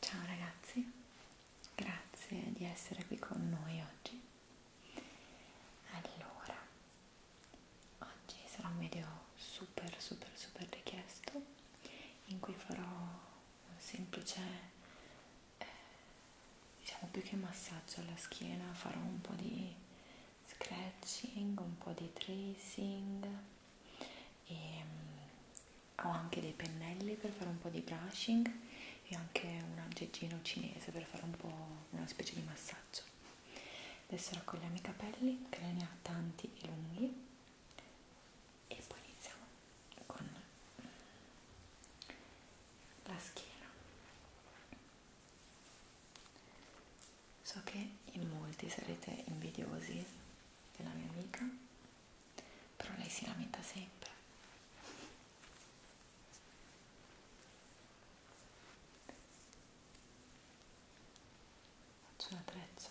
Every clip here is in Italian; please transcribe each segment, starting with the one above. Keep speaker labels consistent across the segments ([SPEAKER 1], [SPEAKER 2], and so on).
[SPEAKER 1] Ciao ragazzi, grazie di essere qui con noi oggi. Allora, oggi sarà un video super super super richiesto in cui farò un semplice eh, diciamo più che massaggio alla schiena farò un po' di scratching un po' di tracing e ehm, mh, ho anche dei pennelli per fare un po' di brushing e anche un aggeggino cinese per fare un po' una specie di massaggio adesso raccogliamo i capelli che ne ha tanti e lunghi e poi iniziamo con la schiena so che in molti sarete invidiosi della mia amica però lei si lamenta sempre Faccio la treccia.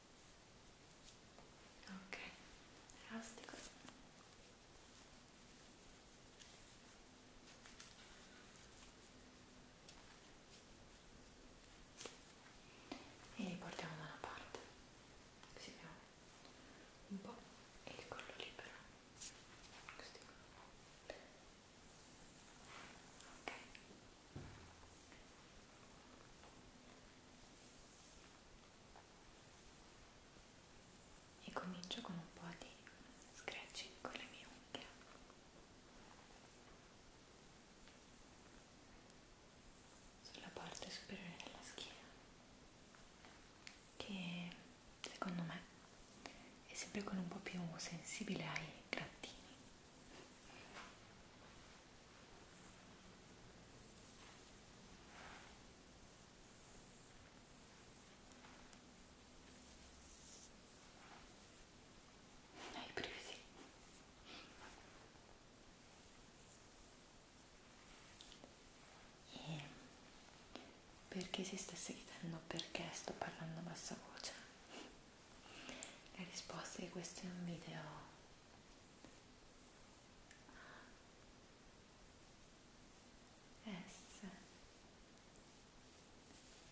[SPEAKER 1] ok elastico e li portiamo da una parte così abbiamo un po' e il collo libero così ok e comincio con un po' di scratching con le mie unghie sulla parte superiore della schiena che secondo me è sempre con un po' più sensibile ai grattini hai presi. E perché si stesse chiedendo perché sto parlando a bassa voce? La risposta è che questo è un video S M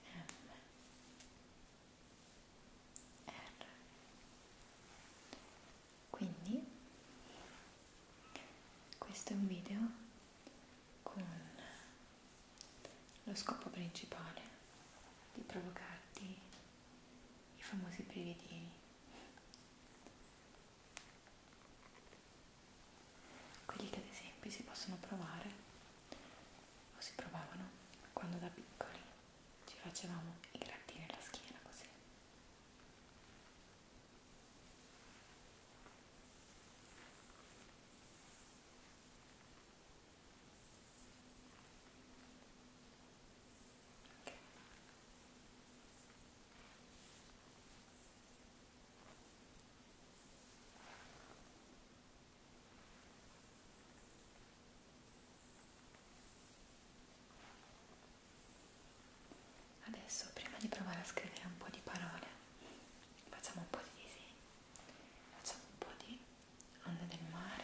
[SPEAKER 1] R quindi questo è un video con lo scopo principale di provocarti i famosi brividini quelli che ad esempio si possono provare o si provavano quando da piccoli ci facevamo i grattini alla schiena così. Adesso prima di provare a scrivere un po' di parole, facciamo un po' di disegni, facciamo un po' di onde del mare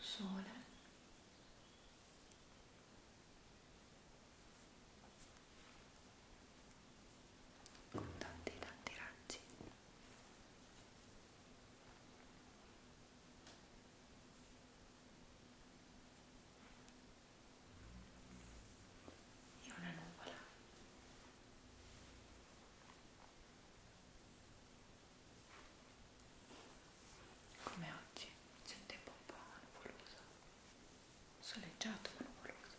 [SPEAKER 1] Sole. Con tanti tanti raggi e una nuvola come oggi c'è un tempo un po' nuvoloso soleggiato ma nuvoloso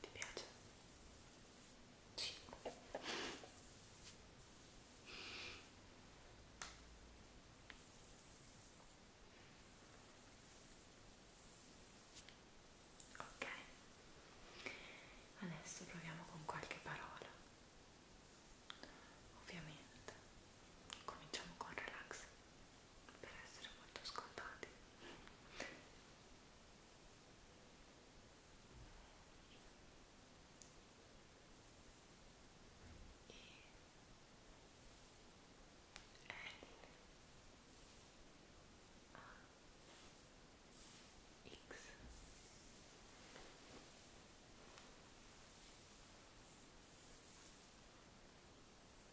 [SPEAKER 1] Ti piace? Sì. Ok, adesso proviamo con qualche parola. Ovviamente cominciamo con relax per essere molto scontati e L A X e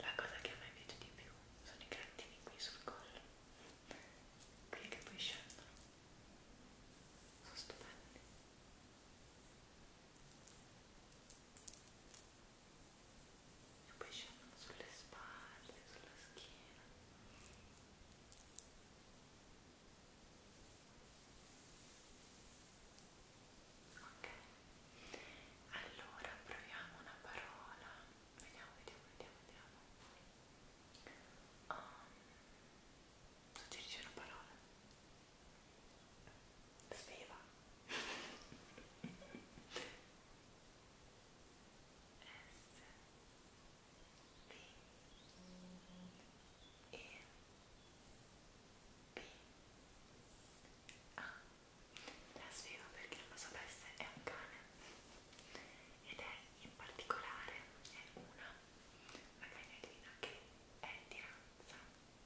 [SPEAKER 1] La cosa che a me piace di più sono i grattini qui sul collo, quelli che poi scendono, sono stupendi. E poi scendono sulle spalle, sulla schiena. Ok, allora proviamo una parola. Vediamo, vediamo, vediamo, vediamo. Um, suggerisci una parola. Sveva. S B E B ah, A la sfido perché non lo sapesse è un cane ed è in particolare è una una cagnolina che è di razza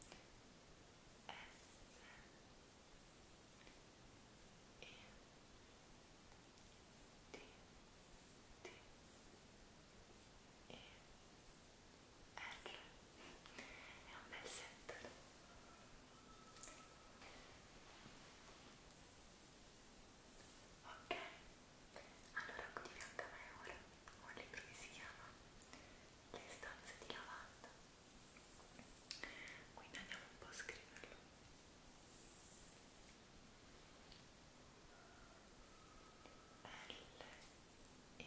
[SPEAKER 1] S E D D e R è un bel set ok allora qui di fianco a me ora ho un libro che si chiama Le stanze di lavanda quindi andiamo un po' a scriverlo L E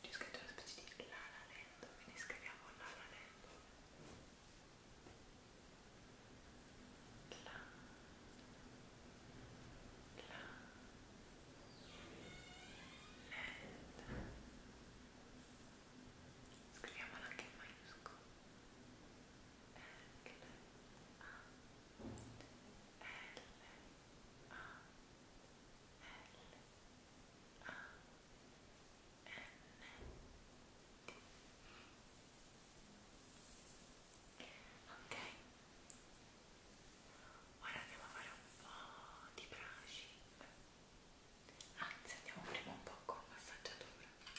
[SPEAKER 1] C'è scritto una specie di La La Land, quindi scriviamo La La Land. La La Land. Scriviamola anche in maiuscolo. La Ok, ora andiamo a fare un po' di brushing. Anzi, andiamo prima un po' con massaggiatura. Ok,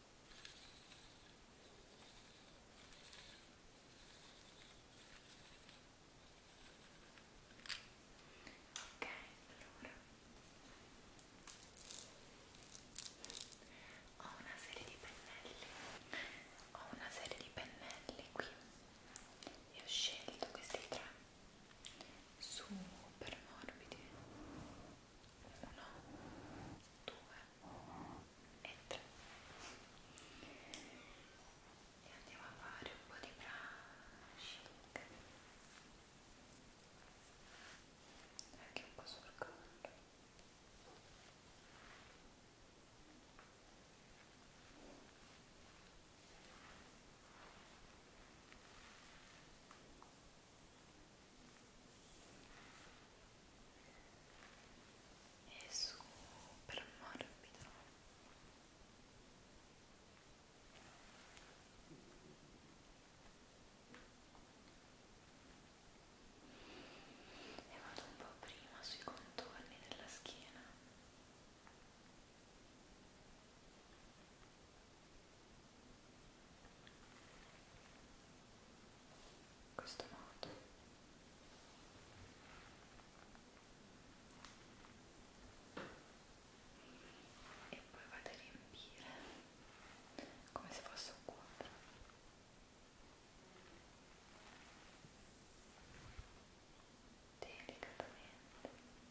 [SPEAKER 1] Ok, allora ho una serie di pennelli, ho una serie di pennelli qui e ho scelto questi tre super morbidi uno, due e 3 e andiamo a fare un po' di brushing anche un po' sul collo e è super morbido e vado un po' prima sui contorni della schiena e in questo modo e poi vado a riempire come se fosse un quadro delicatamente e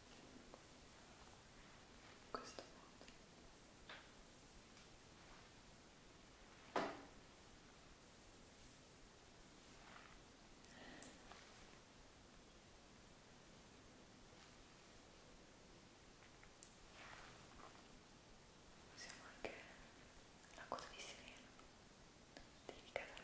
[SPEAKER 1] in questo modo usiamo anche la coda di sirena delicatamente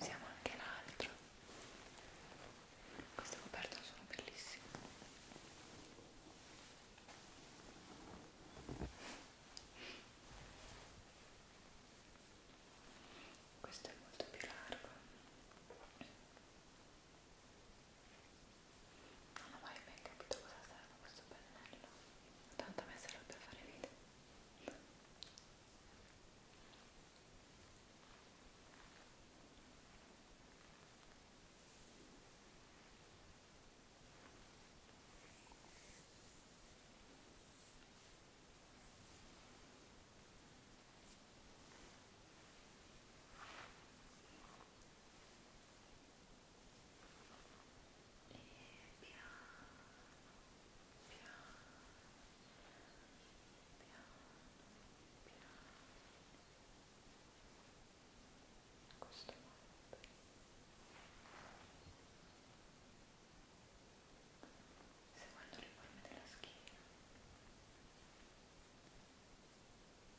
[SPEAKER 1] usiamo anche l'altro queste coperte sono bellissime questo è molto più largo non ho mai ben capito cosa serve questo pennello. Tanto a me serve per fare video e piano piano piano piano in questo modo seguendo le forme della schiena e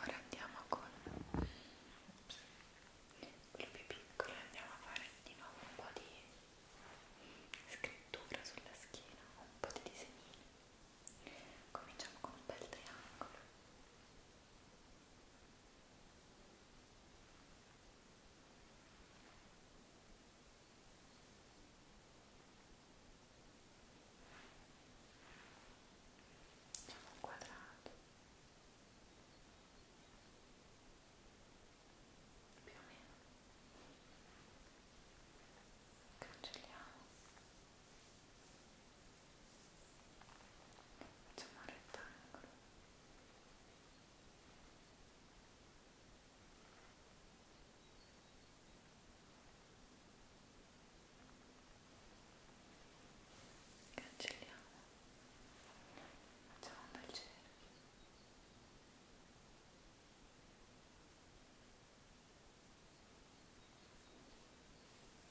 [SPEAKER 1] Ora andiamo con Ops. quello più piccolo andiamo a fare di nuovo un po' di scrittura sulla schiena, un po' di disegnini. Cominciamo con un bel triangolo. Facciamo un quadrato più o meno cancelliamo facciamo un rettangolo cancelliamo facciamo un bel cerchio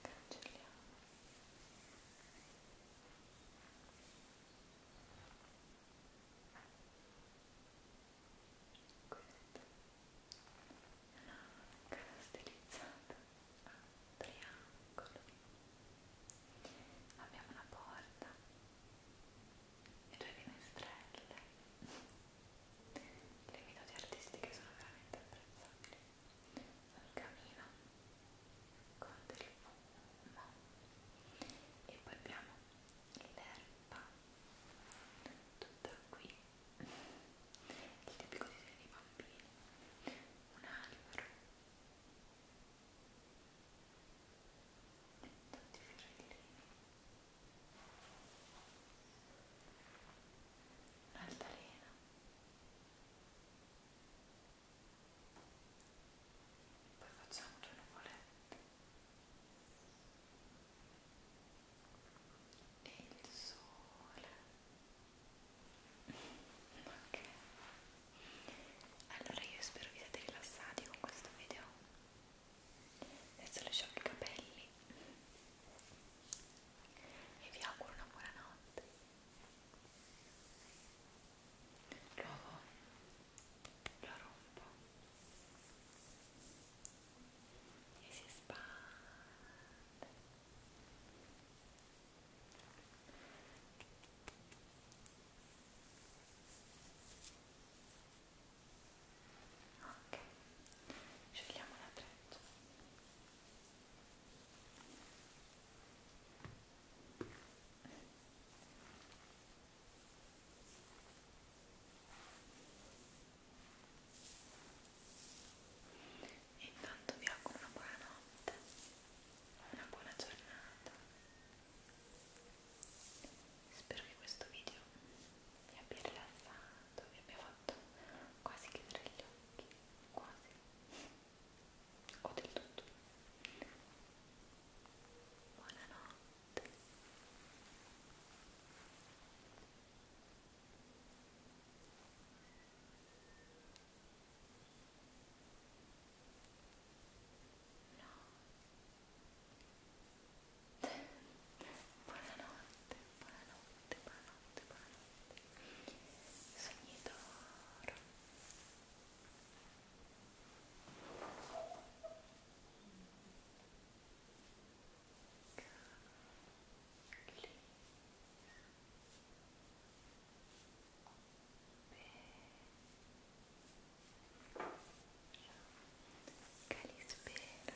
[SPEAKER 1] cancelliamo questa è una cara stilizzata a triangolo abbiamo una porta e due finestrelle le minute artistiche sono veramente apprezzabili un camino con del fumo e poi abbiamo l'erba tutta qui il tipico disegno dei bambini un albero tutti i fiorellini un'altalena poi facciamo due nuvolette e il sole ok allora io spero vi siate rilassati con questo video adesso lascio i capelli e vi auguro una buona notte Luego lo rompo y si espande. Ok, scegliamo un attrezzo. E intanto vi auguro una buona notte, una buona giornata. Spero che questo video vi abbia rilassato, vi abbia fatto quasi chiudere gli occhi, quasi o del tutto. Buonanotte. No. Buonanotte, buonanotte, buonanotte, buonanotte sogni d'oro Calispera